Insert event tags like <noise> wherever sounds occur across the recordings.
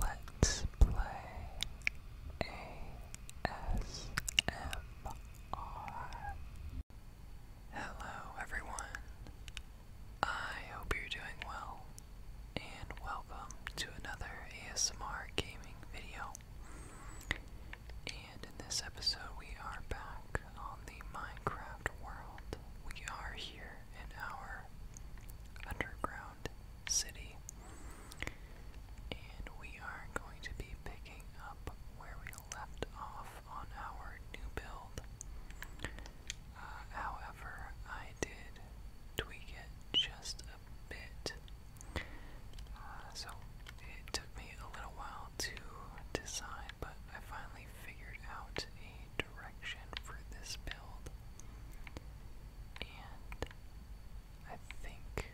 Let's play ASMR. Hello, everyone. I hope you're doing well, and welcome to another ASMR gaming video. And in this episode, we are back on the Minecraft world. We are here in our underground city. And we are going to be picking up where we left off on our new build. Uh, however, I did tweak it just a bit. Uh, so it took me a little while to decide, but I finally figured out a direction for this build. And I think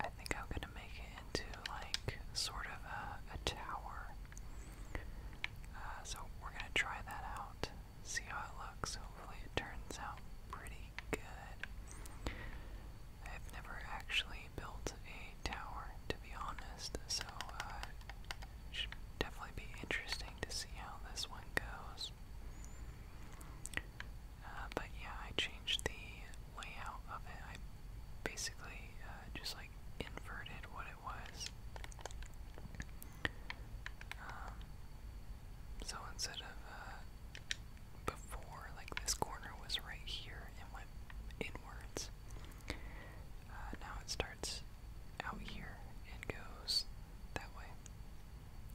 I think I'm gonna make it into like sort of a, tower. Uh, so we're gonna try that out, see how it looks. Hopefully it turns out pretty good. I've never actually built a tower, to be honest, so uh, it should definitely be interesting to see how this one goes. Uh, but yeah, I changed the layout of it. I basically uh, just like inverted what it was. Um, so instead of uh, before, like this corner was right here and went inwards. now it starts out here and goes that way.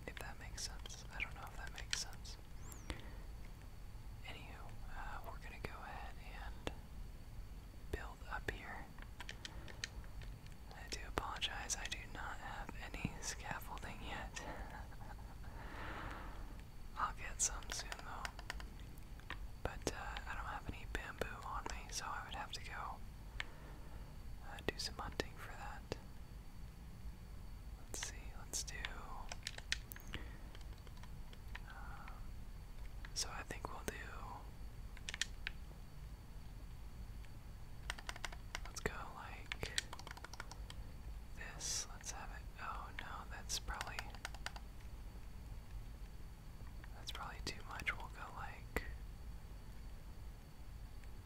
If that makes sense. I don't know if that makes sense. Anywho, uh, we're gonna go ahead and build up here. I do apologize, I do not have any scaffolding yet. <laughs> I'll get some soon though. But uh, I don't have any bamboo on me, so I would have to go uh, do some hunting for that. Let's see, let's do. Um, so I think we'll do. Let's go like this. Let's have it. Oh no, that's probably. That's probably too much. We'll go like.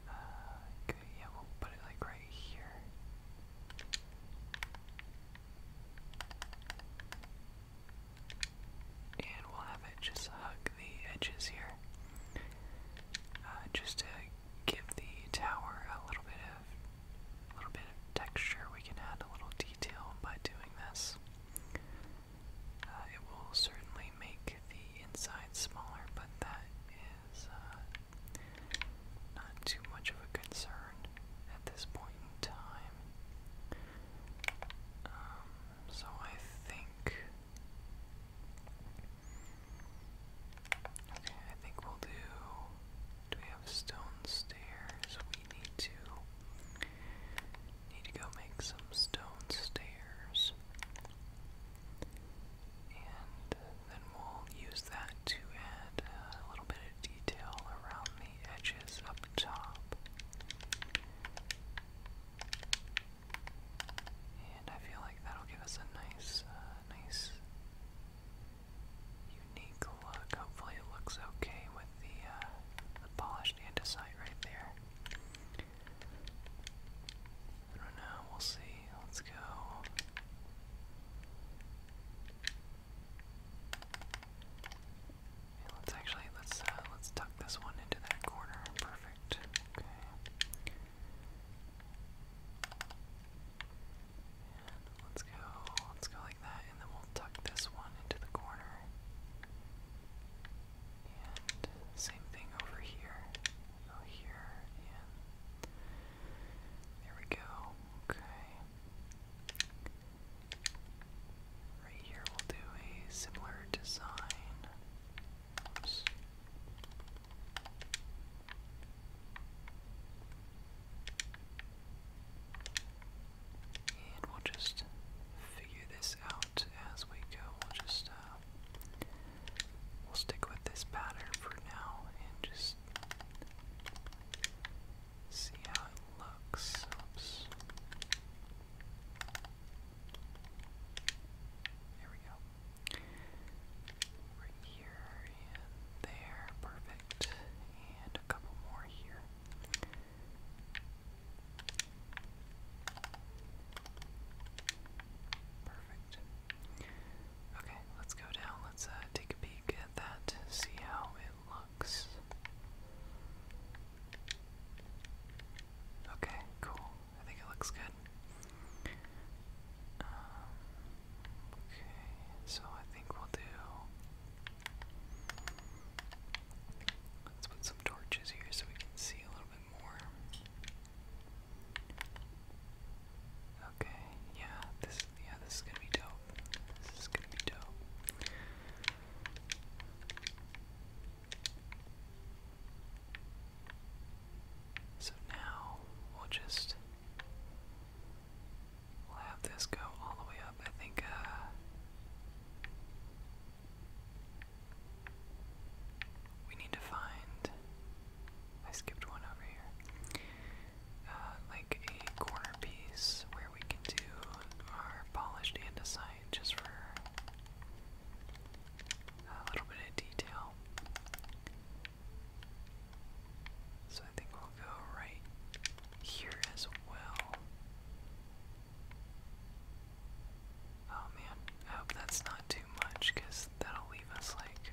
Uh, yeah, we'll put it like right here. And we'll have it just hug the edges here. Uh, just to give the tower a little bit of, little bit of texture, we can add a little detail by doing this. Uh, it will certainly make the inside smaller, but that is uh, not too much of a concern at this point in time. Um, so I think. Okay, I think we'll do. Do we have stone stairs? We need to Need to go make some stone stairs. And then we'll use that to add a little bit of detail around the edges up top. And I feel like that'll give us a nice, uh, nice, unique look. Hopefully, it looks okay with the uh, polished andesite right there. I do we'll see. Let's go. let's actually let's uh, let's tuck this one into that corner. Perfect. Okay. let's go. Let's go like that, and then we'll tuck this one into the corner same thing over here. here and there we go. Okay. Right here we'll do a similar design. And we'll just figure this out as we go. We'll just uh, we'll stick with this pattern for now and just see how it looks. Oops. we go. Right here and there, perfect. And a couple more here. Perfect. Okay, let's go down. Let's uh, take a peek at that, see how it looks. Okay, cool. I think it looks good. Um, okay, so I think we'll do Let's put some torches here so we can see a little bit more. Okay, yeah, this yeah, this is gonna be dope. This is gonna be dope. So now we'll just we'll have this go all the way up. I think uh, we need to find. I skipped one over here. Uh, like a corner piece where we can do our polished andesite just for a little bit of detail. So I think we'll go right here as well. Oh man, I hope that's not too much that'll leave us like.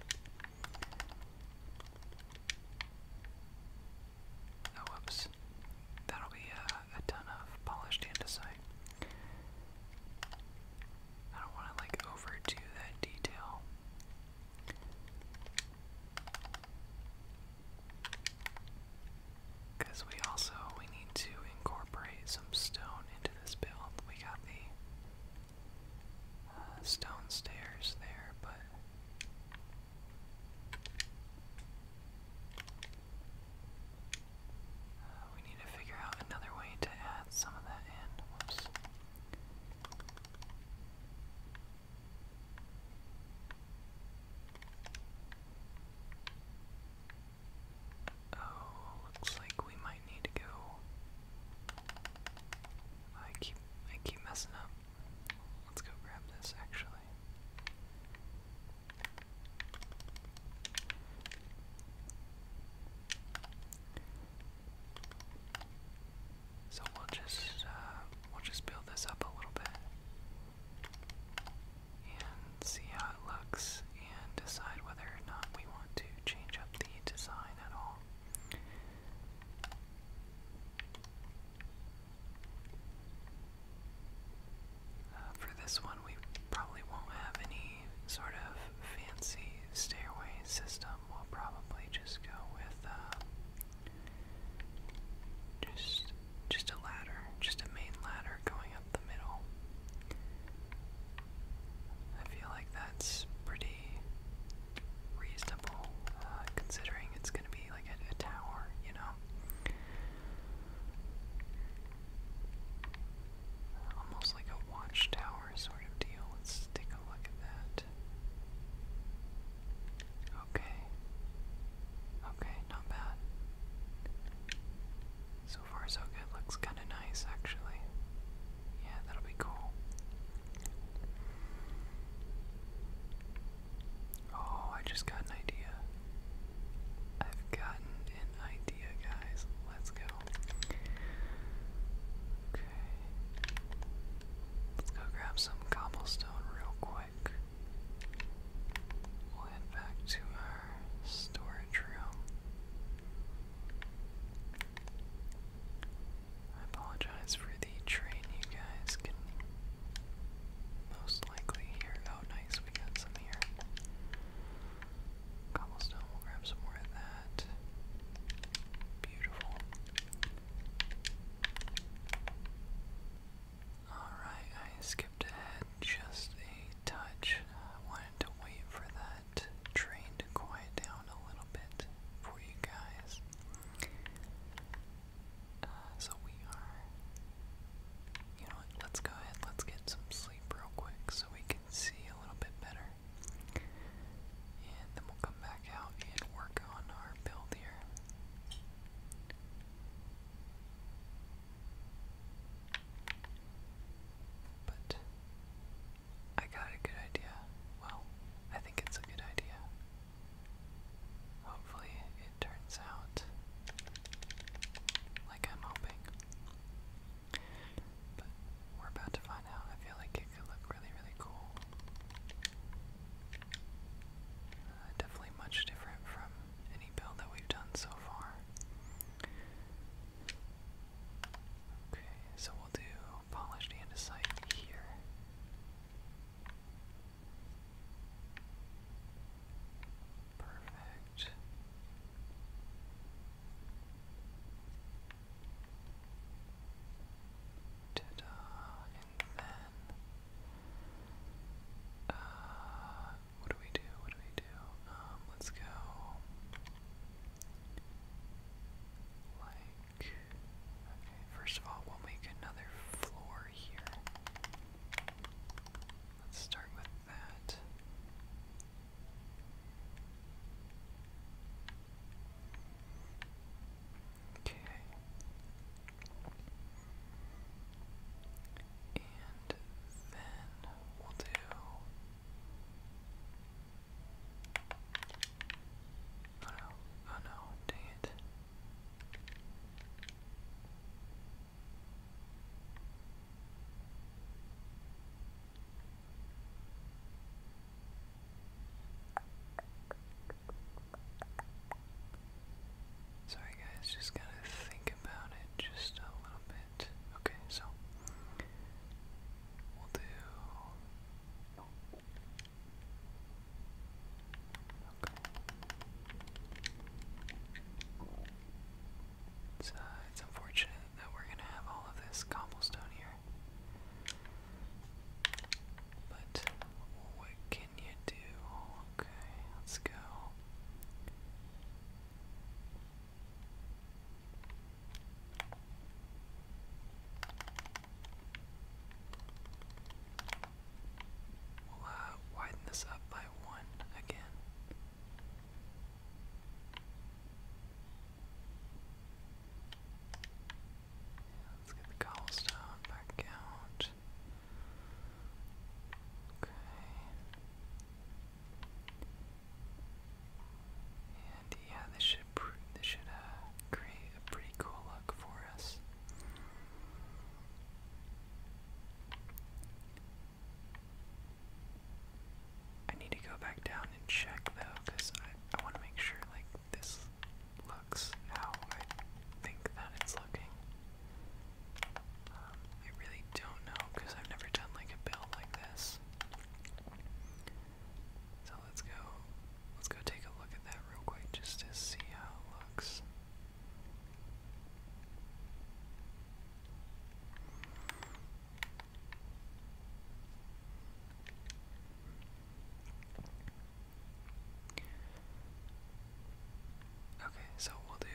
Oh, whoops. That'll be uh, a ton of polished andesite. I don't want to like overdo that detail. Because we also, we need to incorporate some stone into this build. We got the uh, stone stairs there, but... Uh, we need to figure out another way to add some of that in. Oh, looks like we might need to go. I keep I keep messing up. Let's go grab this actually. So we'll just uh, we'll just build this up a little bit and see how it looks and decide whether or not we want to change up the design at all. Uh, for this one, we probably won't have any sort of fancy stairway system. We'll probably just go with uh, just just a ladder, just a main ladder going up the middle. I feel like that's pretty reasonable, uh, considering it's going to be like a tower, you know? Almost like a watchtower sort of deal. Let's take a look at that. Okay. Okay, not bad. So far so good. Looks kind of nice actually. Yeah, that'll be cool. Oh, I just got an idea. I've gotten an idea, guys. Let's go. Okay. Let's go grab some cobblestone real quick. We'll head back to our storage room. I apologize for the train you guys can most likely hear. Oh, nice, we got some here. Cobblestone, we'll grab some more of that. Beautiful. Alright, I skipped ahead just a touch. I wanted to wait for that train to quiet down a little bit for you guys. Uh, so we are. You know Let's go ahead. Let's get some sleep real quick so we can see a little bit better. And then we'll come back out and work on our build here. But I got a good idea. Well, I think it's a good idea. Hopefully, it turns out like I'm hoping. But we're about to find out. I feel like it could look really, really cool. Uh, definitely much different from any build that we've done so far. Okay, so we'll do polished andesite here. Perfect. Ta-da, and then uh, what do we do? What do we do? Um, let's go. Like, okay, first of all, we'll make another floor here. Let's start with that. Okay. And then we'll do Oh no, oh no, dang it. Sorry guys, just gotta think about it just a little bit. Okay, so we'll do Okay. It's, it's unfortunate that we're gonna have all of this cobblestone here. But what can you do? Okay, let's go. We'll uh, widen this up by one again. Let's get the cobblestone back out. Okay. And yeah, this should this should uh, create a pretty cool look for us. I need to go back down and check though, cause I I want to make sure like this how I think that it's looking. Um, I really don't know because I've never done like a build like this. So let's go let's go take a look at that real quick just to see how it looks. Okay, so we'll do.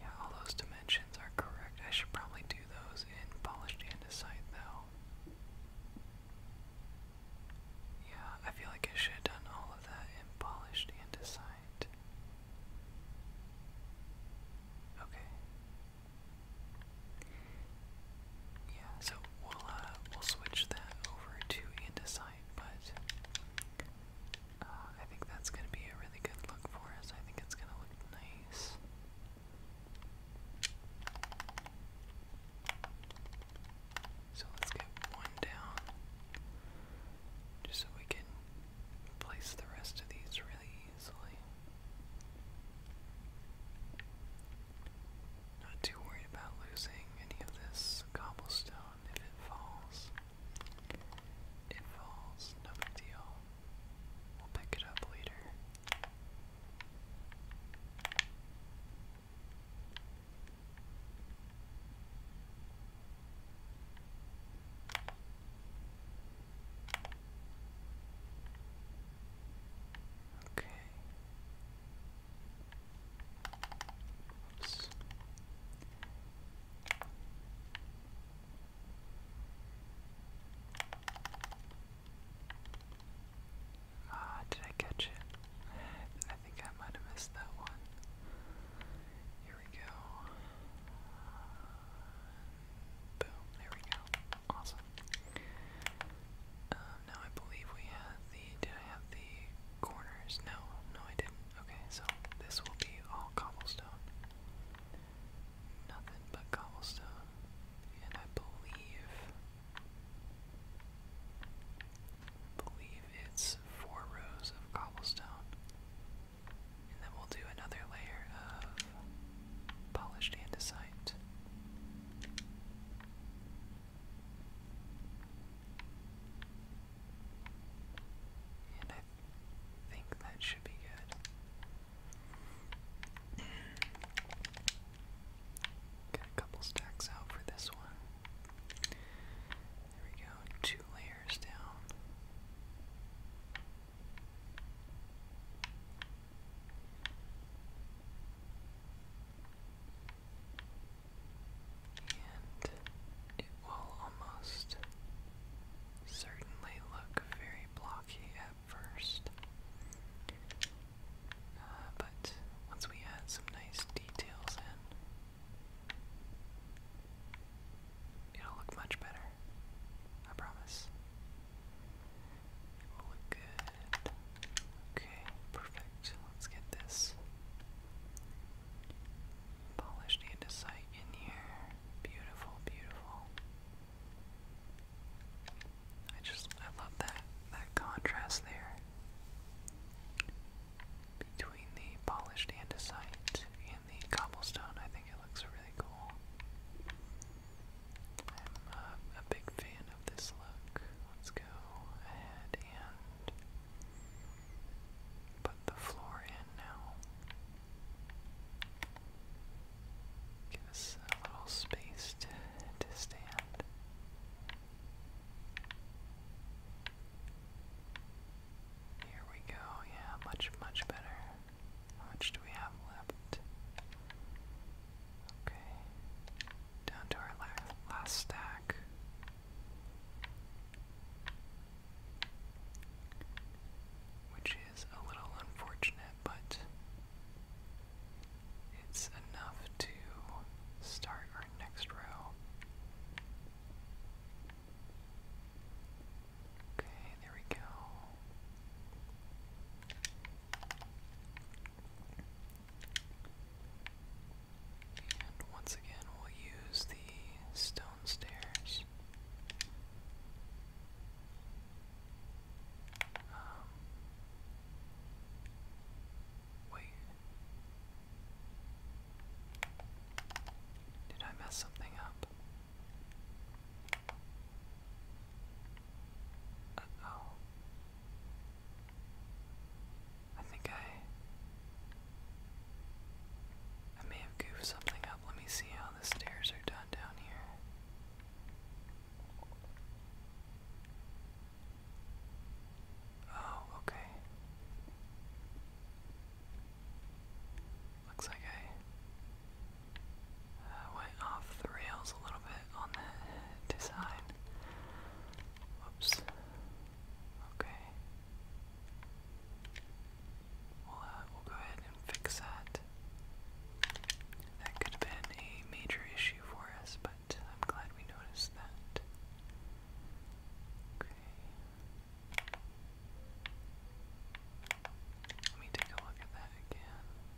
Yeah, all those dimensions are correct. I should probably do those in polished andesite, though. Yeah, I feel like I should have done all of that in polished andesite. Okay. Yeah, so we'll uh, we'll switch that over to andesite, but uh, I think that's gonna be a really good look for us. I think it's gonna look nice. So let's get one down, just so we can place the rest of these really easily. Not too worried about losing any of this cobblestone if it falls. It falls, no big deal. We'll pick it up later. Okay. Oops. Ah, did I catch it? I think I might have missed that one. Here we go. Boom, there we go. Awesome. Um, now I believe we have the, did I have the corners? No, no I didn't. Okay, so this will be all cobblestone. Nothing but cobblestone. And I believe, believe it's four rows of cobblestone. And then we'll do another layer of polished andesite. And I think that should be good. Got a couple stacks out for this one. There we go, two layers down. And it will almost certainly look very blocky at first. Uh, but once we add some nice details in, it'll look much better. I promise. Will look good. Okay, perfect. Let's get this polished andesite in here. Beautiful, beautiful. I just I love that that contrast there between the polished andesite and the cobblestone. I think it looks really cool. I'm uh, a big fan of this look. Let's go ahead and put the floor in now. Give us a little space to stand. Here we go, yeah, much, much better. How much do we have left? Okay. Down to our last stack. Which is a little unfortunate, but it's enough to start our next row. Okay, there we go. And once again, we'll use the stone stairs. Um, wait. Did I mess something up? oh I think I I may have goofed something up. Let me see how the stairs are done down here. Oh, okay. Looks like I uh, went off the rails a little bit on the design. Whoops. Okay. We'll, uh, we'll go ahead and fix that. That could have been a major issue for us, but I'm glad we noticed that. Okay. Let me take a look at that again. Okay.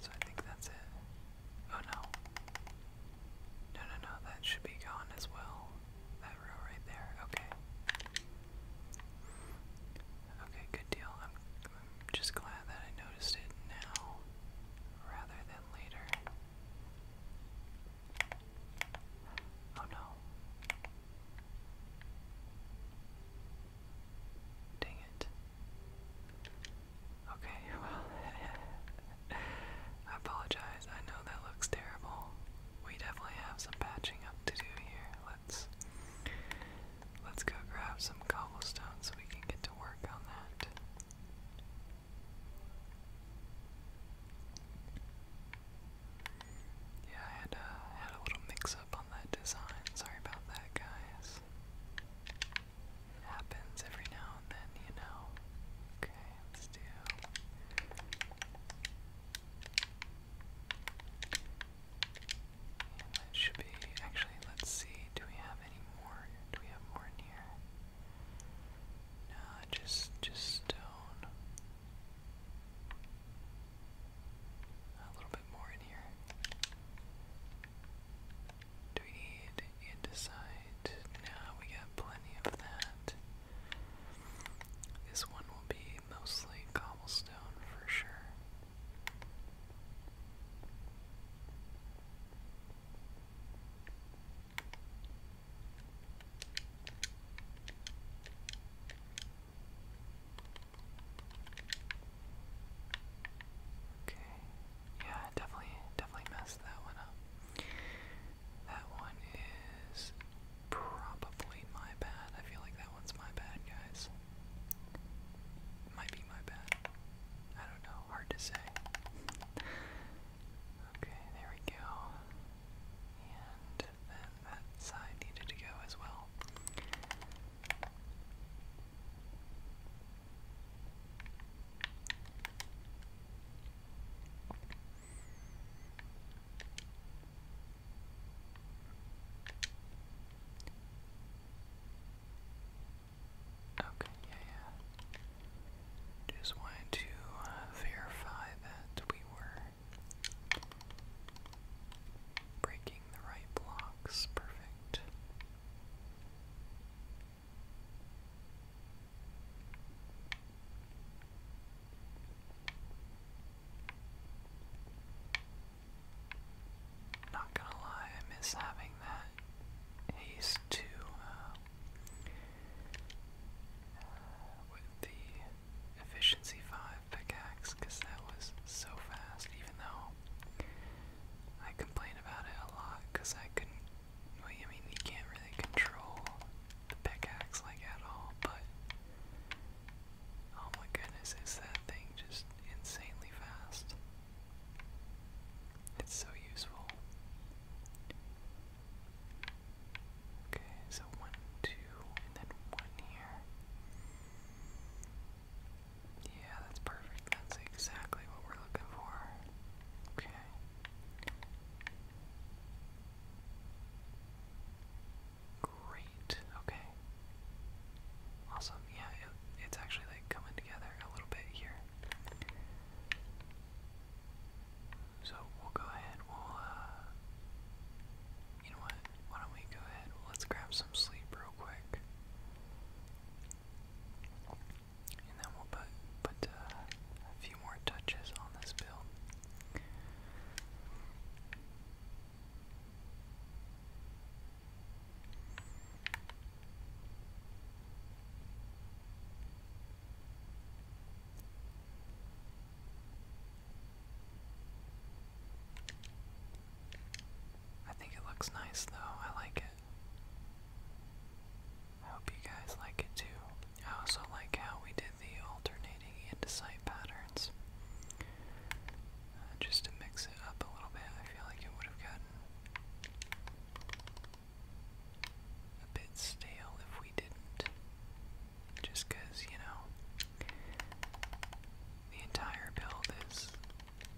So I think that's it. Oh no. No, no, no, that should be gone as well. That row right there. Okay. Okay, good deal. I'm, just glad that I noticed it now rather than later. Oh no. Dang it. Okay, <laughs> well, I apologize. I know that looks terrible. We definitely have some patching up to do here. Let's go grab some cobblestone so we can get to work on that. Yeah, I uh, had a, little mix-up on that design. Sorry about that, guys. happens every now and then, you know. Okay, let's do. That should be actually let's see, do we have any more? Do we have more in here? No, just just stone. A little bit more in here. Do we need andesite? No, we got plenty of that. This one will be mostly cobblestone for sure. Okay. Yeah, definitely, definitely messed that one up. That one is probably my bad. I feel like that one's my bad, guys. Might be my bad. I don't know. Hard to say. <laughs> okay, there we go. And then that side needed to go as well. Okay, yeah, yeah. Just wanted to uh, verify that we were breaking the right blocks. Perfect. Not gonna lie, I miss having that haste to uh, with the efficiency five pickaxe, because that was so fast. Even though I complain about it a lot, because I couldn't. Well, I mean, you can't really control the pickaxe like at all, but Oh my goodness, is that thing just insanely fast? It's so useful. Okay, so one, two, and then one here. Yeah, that's perfect. That's exactly what we're looking for. Okay. Great. Okay. Awesome. Yeah, it's actually like coming together a little bit here. So we'll go ahead. We'll, uh, you know what? Why don't we go ahead? Let's grab some sleep real quick. And then we'll put, put uh, a few more touches on this build. I think it looks nice though, I like it. I hope you guys like it too. I also like how we did the alternating andesite patterns. Uh, just to mix it up a little bit, I feel like it would have gotten a bit stale if we didn't. Just because, you know, the entire build is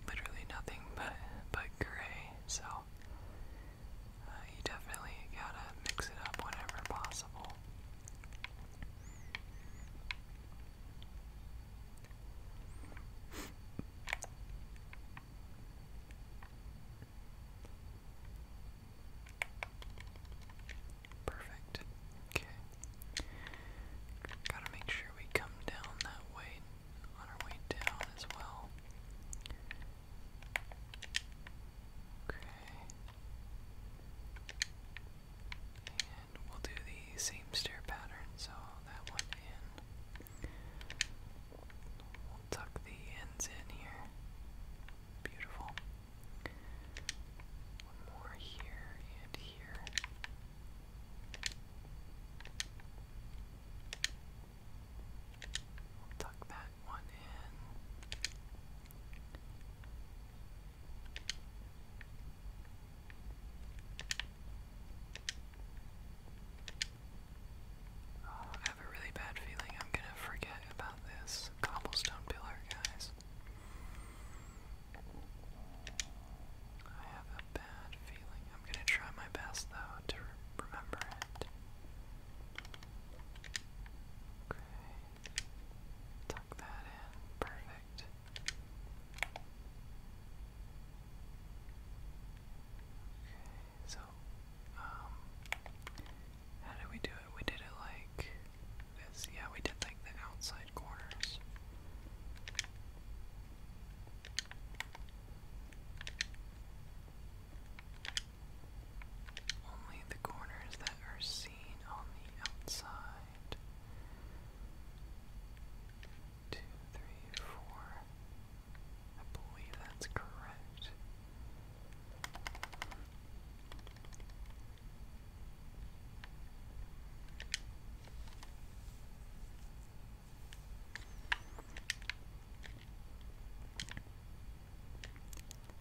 literally nothing <laughs> but, but gray, so uh, you definitely gotta mix it up whenever possible. Perfect. Okay. Gotta make sure we come down that way on our way down as well. Okay. And we'll do the same stair pattern, so that one in. We'll tuck the ends in here. Beautiful. One more here and here. tuck that one in. I have a really bad feeling I'm gonna forget about this cobblestone pillar, guys. I have a bad feeling. I'm gonna try my best though to remember it. Okay. Tuck that in. Perfect. so, um, how did we do it? We did it like this. Yeah, we did like the outside corners. Only the corners that are on the outside. Two, three, four. I believe that's correct.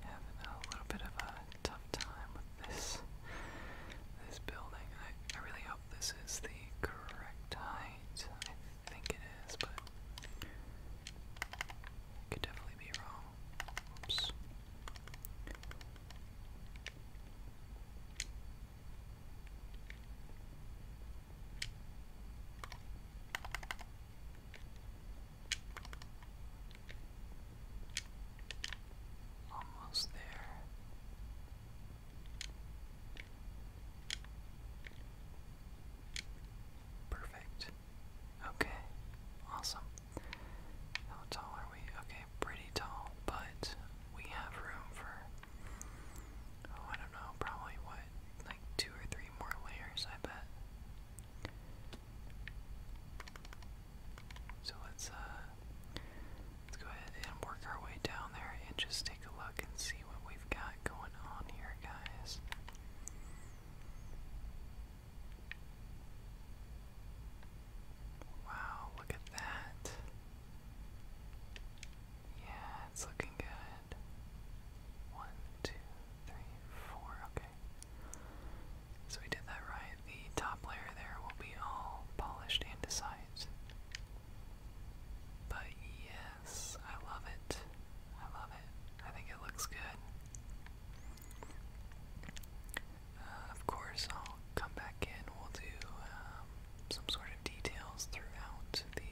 Having a little bit of a tough time with this this building. I I really hope this is the correct height. I think it is, but could definitely be wrong. Oops. Almost there. Perfect. Okay. Awesome. How tall are we? Okay, pretty tall, but we have room for oh, I don't know, probably what, like two or three more layers, I bet. So let's uh, let's go ahead and work our way down there and just take a look and see what we've got going on here, guys. Wow, look at that. Yeah, it's looking good. One, two, three, four. Okay. So we did that right. The top layer there will be all polished and But yes, I love it. I love it. I think it looks good. Uh, of course, I'll come back in. We'll do um, some sort of details throughout the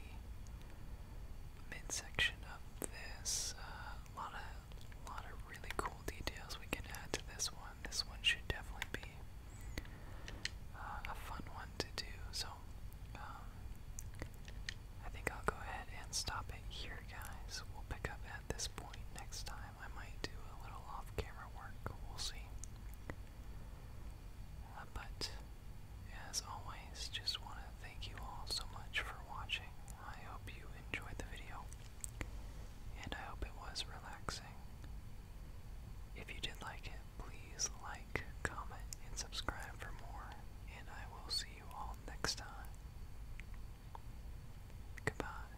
midsection of this. A uh, lot of, lot of really cool details we can add to this one. This one should definitely be uh, a fun one to do. So, um, I think I'll go ahead and stop it here, guys. We'll pick up at this point next time. I might do a little off-camera work. We'll see. Uh, but as always, just want to thank you all so much for watching. I hope you enjoyed the video, and I hope it was relaxing. If you did like it, please like, comment, and subscribe for more, and I will see you all next time. Goodbye.